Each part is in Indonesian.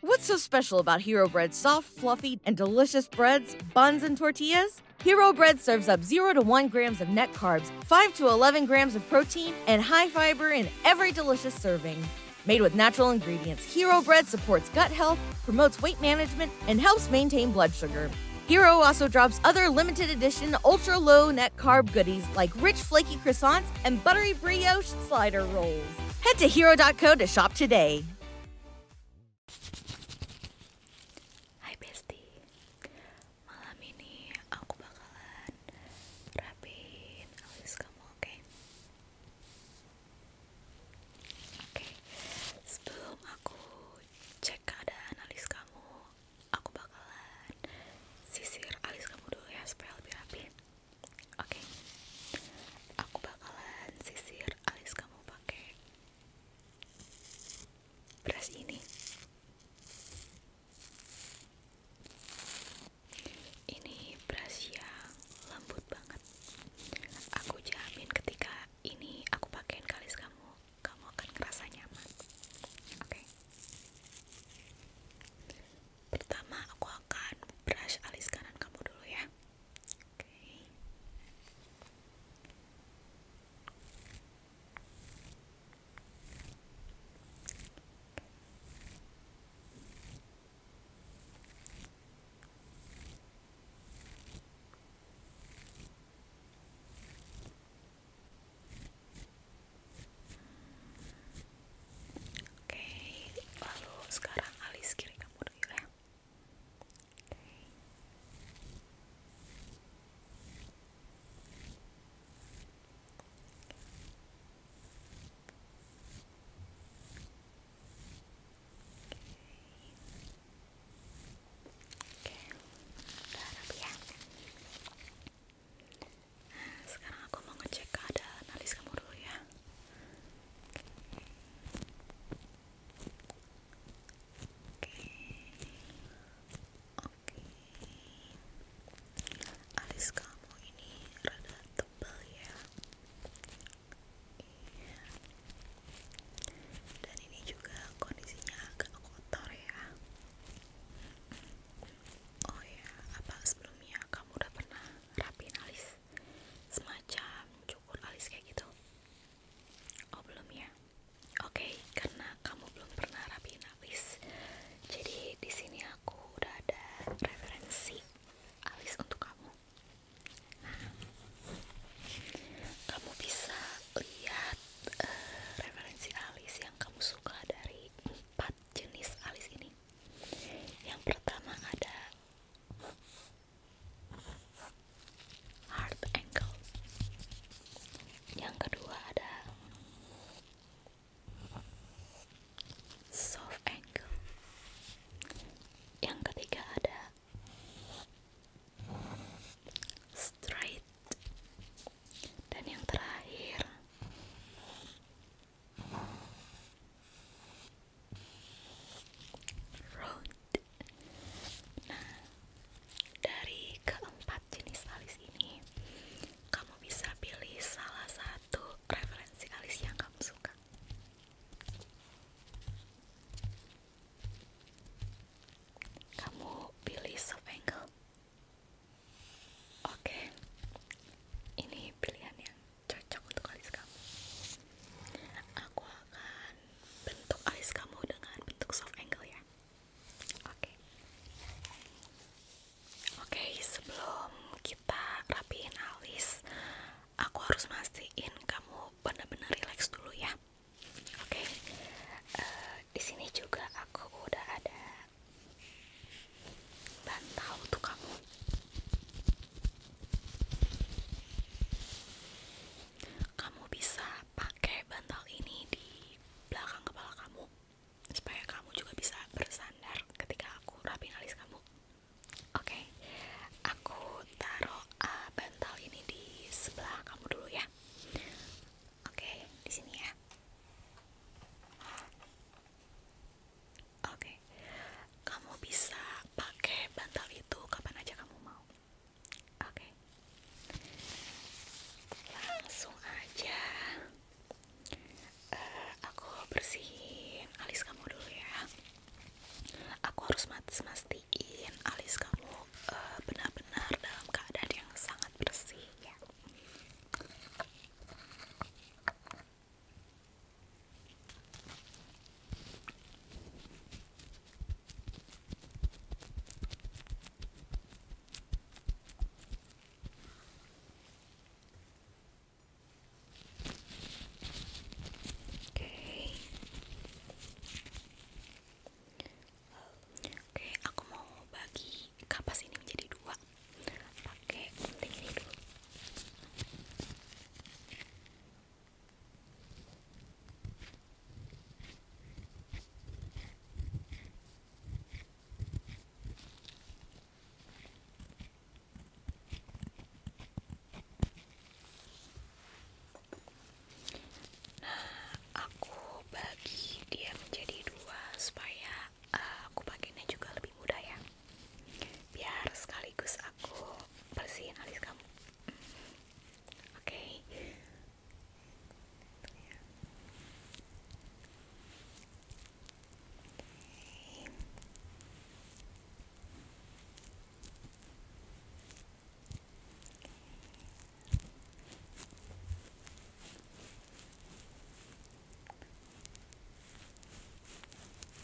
What's so special about Hero Bread's soft, fluffy, and delicious breads, buns, and tortillas? Hero Bread serves up 0 to 1 grams of net carbs, 5 to 11 grams of protein, and high fiber in every delicious serving. Made with natural ingredients, Hero Bread supports gut health, promotes weight management, and helps maintain blood sugar. Hero also drops other limited edition ultra low net carb goodies like rich flaky croissants and buttery brioche slider rolls. Head to hero.co to shop today. Malam ini aku bakalan rapiin alis kamu, oke? Oke. Sebelum aku cek alis kamu, aku bakalan sisir alis kamu dulu ya supaya lebih rapi. Oke, aku bakalan sisir alis kamu pakai brush ini. Ini brush yang lembut banget. Aku jamin ketika ini aku pakaiin ke alis kamu, kamu akan kerasa nyaman. Oke. Pertama aku akan brush alis kanan kamu dulu ya. Oke, lalu sekarang alis kiri kamu dulu ya. Okay. Oke, okay. udah rapi ya. Nah, sekarang aku mau ngecek keadaan alis kamu dulu ya. Oke. Alis kamu ini rada tebal ya. Iya. Dan ini juga kondisinya agak kotor ya. Oh ya, apa sebelumnya kamu udah pernah rapi alis? semacam cukur alis kayak gitu oh belum ya oke karena kamu belum pernah rapiin alis jadi di sini aku udah ada referensi alis untuk kamu nah, kamu bisa lihat uh, referensi alis yang kamu suka dari empat jenis alis ini yang pertama ada hard angle yang kedua ada soft angle yang ketiga ada straight dan yang terakhir road nah dari keempat jenis alis ini kamu bisa pilih salah satu referensi alis yang kamu suka kamu pilih soft angle Oke, ini pilihan yang cocok untuk alis kamu aku akan bentuk alis kamu dengan bentuk soft angle ya oke oke sebelum kita rapiin alis aku harus mastiin kamu benar-benar rileks dulu ya oke eh, di sini juga aku udah ada bantal untuk kamu kamu bisa pakai bantal ini di belakang kepala kamu supaya kamu juga bisa bersandar ketika aku rapiin alis kamu. Oke, aku taruh eh, bantal ini di sebelah kamu dulu ya. Oke, di sini ya. Oke, kamu bisa pakai bantal itu kapan aja kamu mau. Oke, langsung aja. Eh, aku bersihin alis kamu dulu ya. Aku harus mastiin alis kamu eh, benar-benar dalam keadaan yang sangat bersih ya. Oke, okay. aku mau bagi kapas ini menjadi dua. Pakai gunting dulu. Nah, aku bagi dia menjadi dua supaya eh, aku pakainya juga lebih mudah ya biar sekaligus aku bersihin alis kamu oke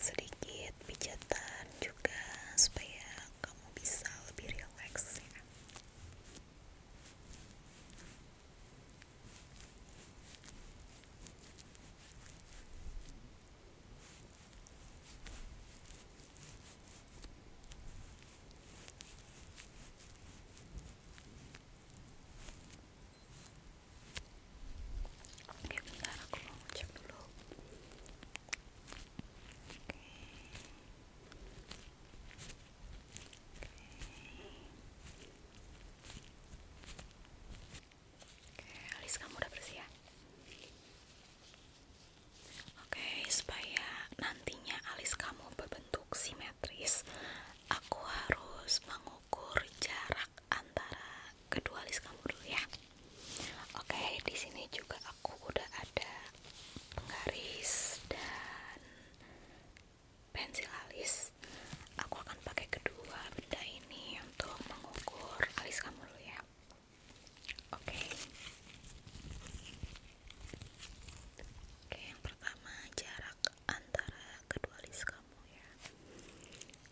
sedikit pijatan juga supaya kamu bisa lebih rileks ya. Oke, bentar aku mau cek alis kamu udah bersih ya? Oke, supaya nantinya alis kamu berbentuk simetris, aku harus mengukur jarak antara kedua list kamu dulu ya. Oke, okay, di sini juga aku udah ada penggaris dan pensil alis. Aku akan pakai kedua beda ini untuk mengukur alis kamu dulu ya. Oke. Oke, yang pertama jarak antara kedua alis kamu ya.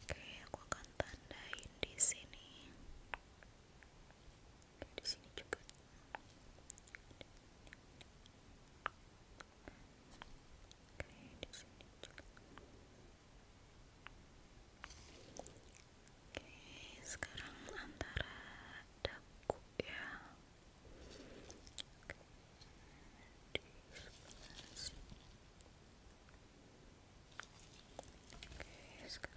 Oke, aku akan tandain di sini di sini juga. di sini juga. Oke, sekarang antara dagu ya. Di sebelah sini. sekarang.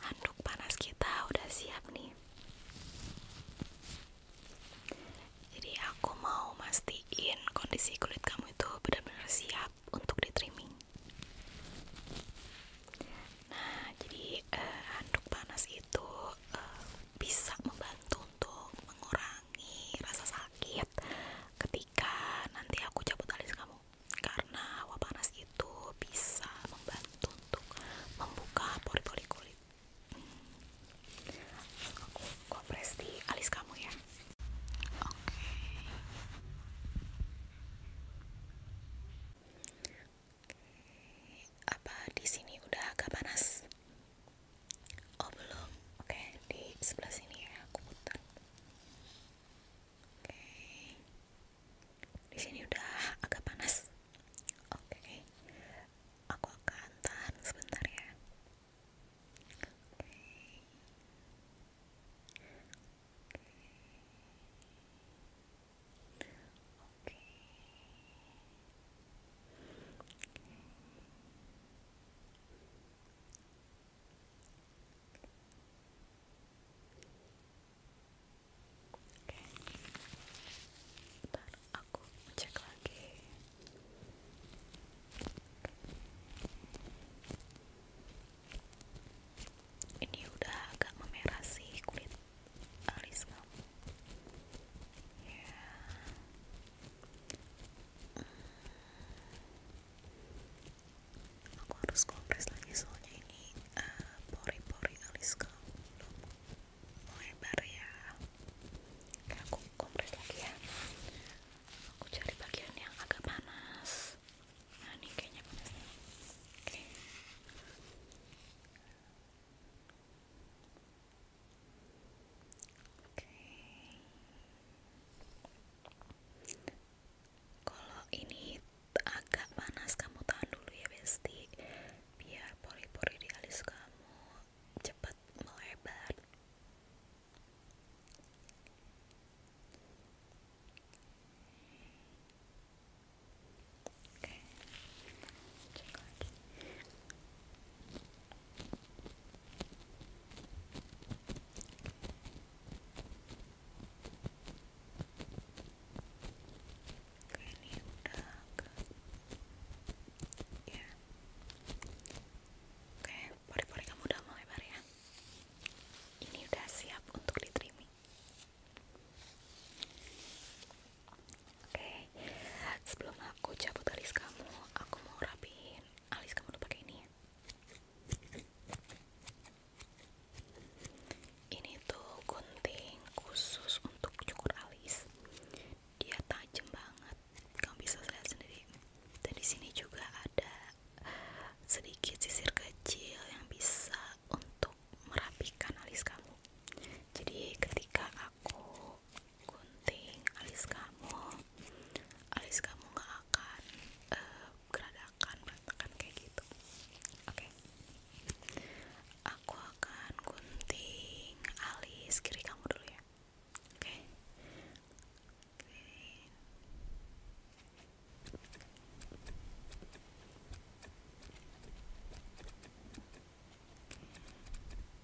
Handuk panas kita udah siap nih. Jadi aku mau mastiin kondisi kulit kamu itu benar-benar siap untuk di trimming. Nah, jadi eh, handuk panas itu eh, bisa membantu untuk mengurangi mengurangi rasa sakit ketika nanti aku cabut alis kamu karena uap panas itu bisa membantu untuk membuka pori-pori kulit aku kompres alis kamu ya oke apa di sini udah agak panas? Oh belum, oke di sebelah sini ya aku putar. Oke, di sini udah agak panas. Oke, aku akan tahan sebentar ya. Oke, oke. Oke, aku cek lagi. Ini udah agak memerah sih kulit alis kamu. Ya aku harus kompres lagi soalnya ini eh, pori-pori uh, alis kamu belum melebar ya aku kompres lagi ya aku cari bagian yang agak panas nah ini kayaknya panas nih oke kalau ini agak panas kamu tahan dulu ya Besti biar pori-pori di alis kamu cepat melebar. Oke. Oke, ini udah agak ya. Oke, pori-pori kamu udah mau ya. Ini udah siap untuk ditriming. Oke, sebelum aku cabut garis kamu, aku mau rapiin alis kamu udah pakai ini ya ini tuh gunting khusus untuk cukur alis dia tajem banget kamu bisa lihat sendiri Tadi sini juga ada sedikit sisir kecil yang bisa untuk merapikan alis kamu jadi ketika aku gunting alis kamu alis kamu nggak akan uh, geradakan akan kayak gitu oke aku akan gunting alis kiri kamu dulu ya oke Oke,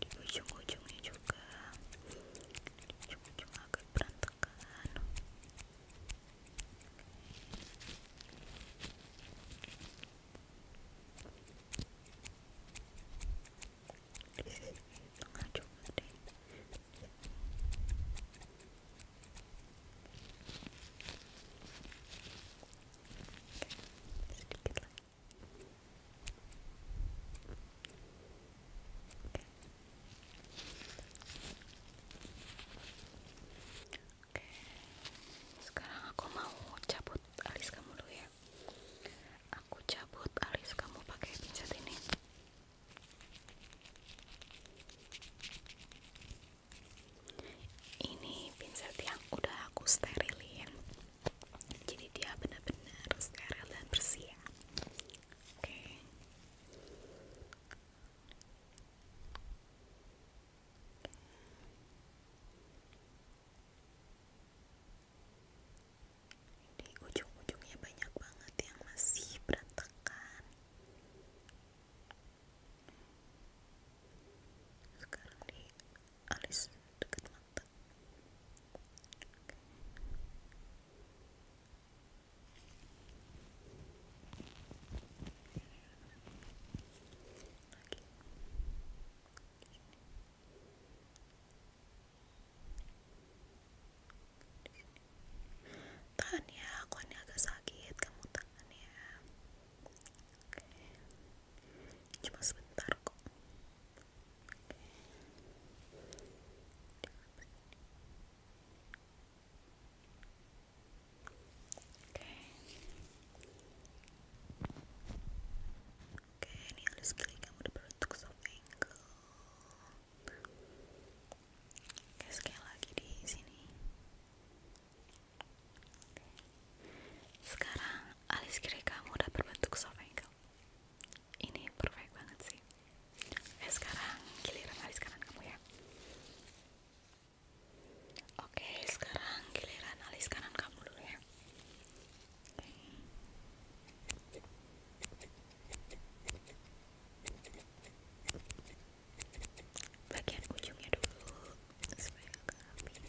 di ujung-ujungnya juga ujung-ujung agak berantakan tengah juga deh sedikit lagi sekarang aku mau cabut alis kamu dulu ya. Aku cabut alis kamu pakai pinset ini. Ini pinset yang udah aku sterilin jadi dia benar-benar steril dan bersih ya. oke okay. di ujung-ujungnya banyak banget yang masih berantakan sekarang di alis dekat Okay. Tahan ya, aku ini agak sakit, kamu tahan ya. Oke. Cuma sebentar kok. Oke. Oke, ini alis kiri kamu udah berbentuk soft angle. Oke, sekali lagi di sini. Oke. Sekarang alis kiri kamu udah berbentuk soft angle ini perfect banget sih sekarang giliran alis kanan kamu ya oke sekarang giliran alis kanan kamu dulu ya oke. bagian ujungnya dulu supaya agak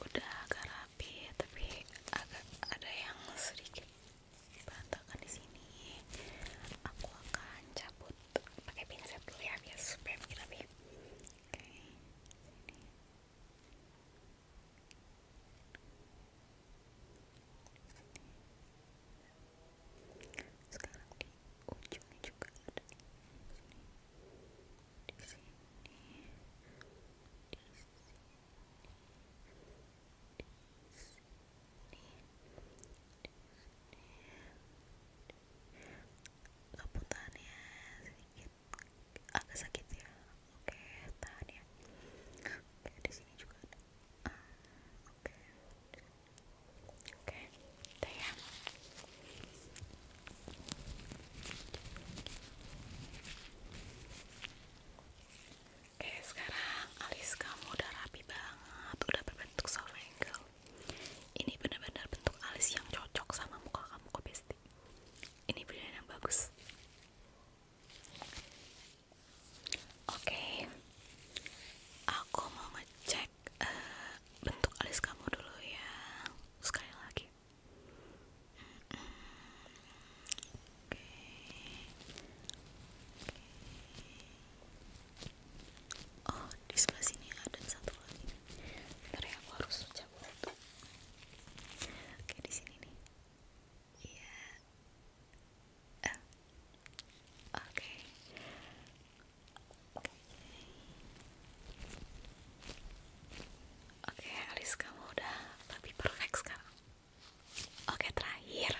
udah agak rapi tapi agak ada yang sedikit berantakan di sini. Aku akan cabut pakai pin dulu ya biar supaya makin ya. rapi. Oke. Sekarang di ujungnya juga ada di sini, di sini, keputannya sedikit agak sakit ya oke tahan ya oke di sini juga oke oke udah ya. Oke, sekarang alis kamu udah rapi banget, udah berbentuk soft angle. Ini benar-benar bentuk alis yang cocok sama muka kamu kok, bestie Ini pilihan yang bagus. Oke. Aku mau ngecek eh, bentuk alis kamu dulu ya. Sekali lagi. Oke. Oh, di sebelah sini ada satu lagi. Bentar ya, aku harus cabut Oke, di sini nih. Iya. Eh. Oke. Oke. Oke, alis kamu udah tapi perfect sekarang. Oke terakhir,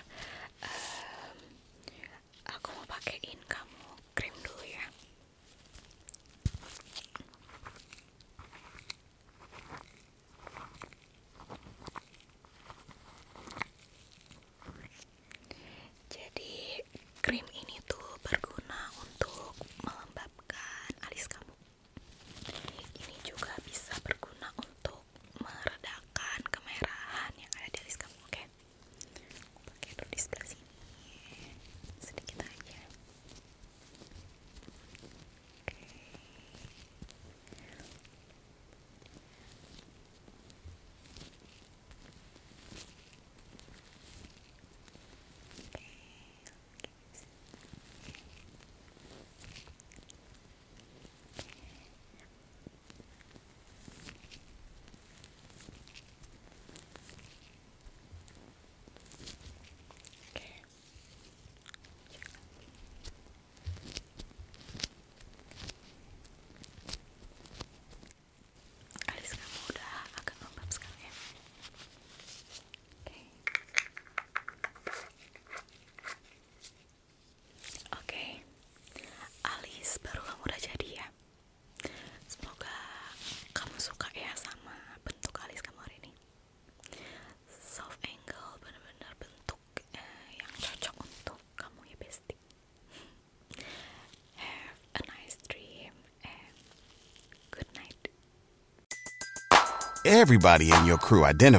eh, aku mau pakein kamu krim dulu ya. Jadi krim ini tuh berguna untuk melembabkan alis kamu. Ini juga bisa berguna untuk meredakan kemerahan yang ada di alis kamu, Pakai dulu di sini, sedikit aja. Okay. Alis kamu udah agak lembab sekarang ya. Oke. Oke, alis baru kamu udah jadi ya. Semoga kamu suka ya sama bentuk alis kamu hari ini. Soft angle benar-benar bentuk eh, yang cocok untuk kamu ya bestie. Have a nice dream and good night. Everybody in your crew identifies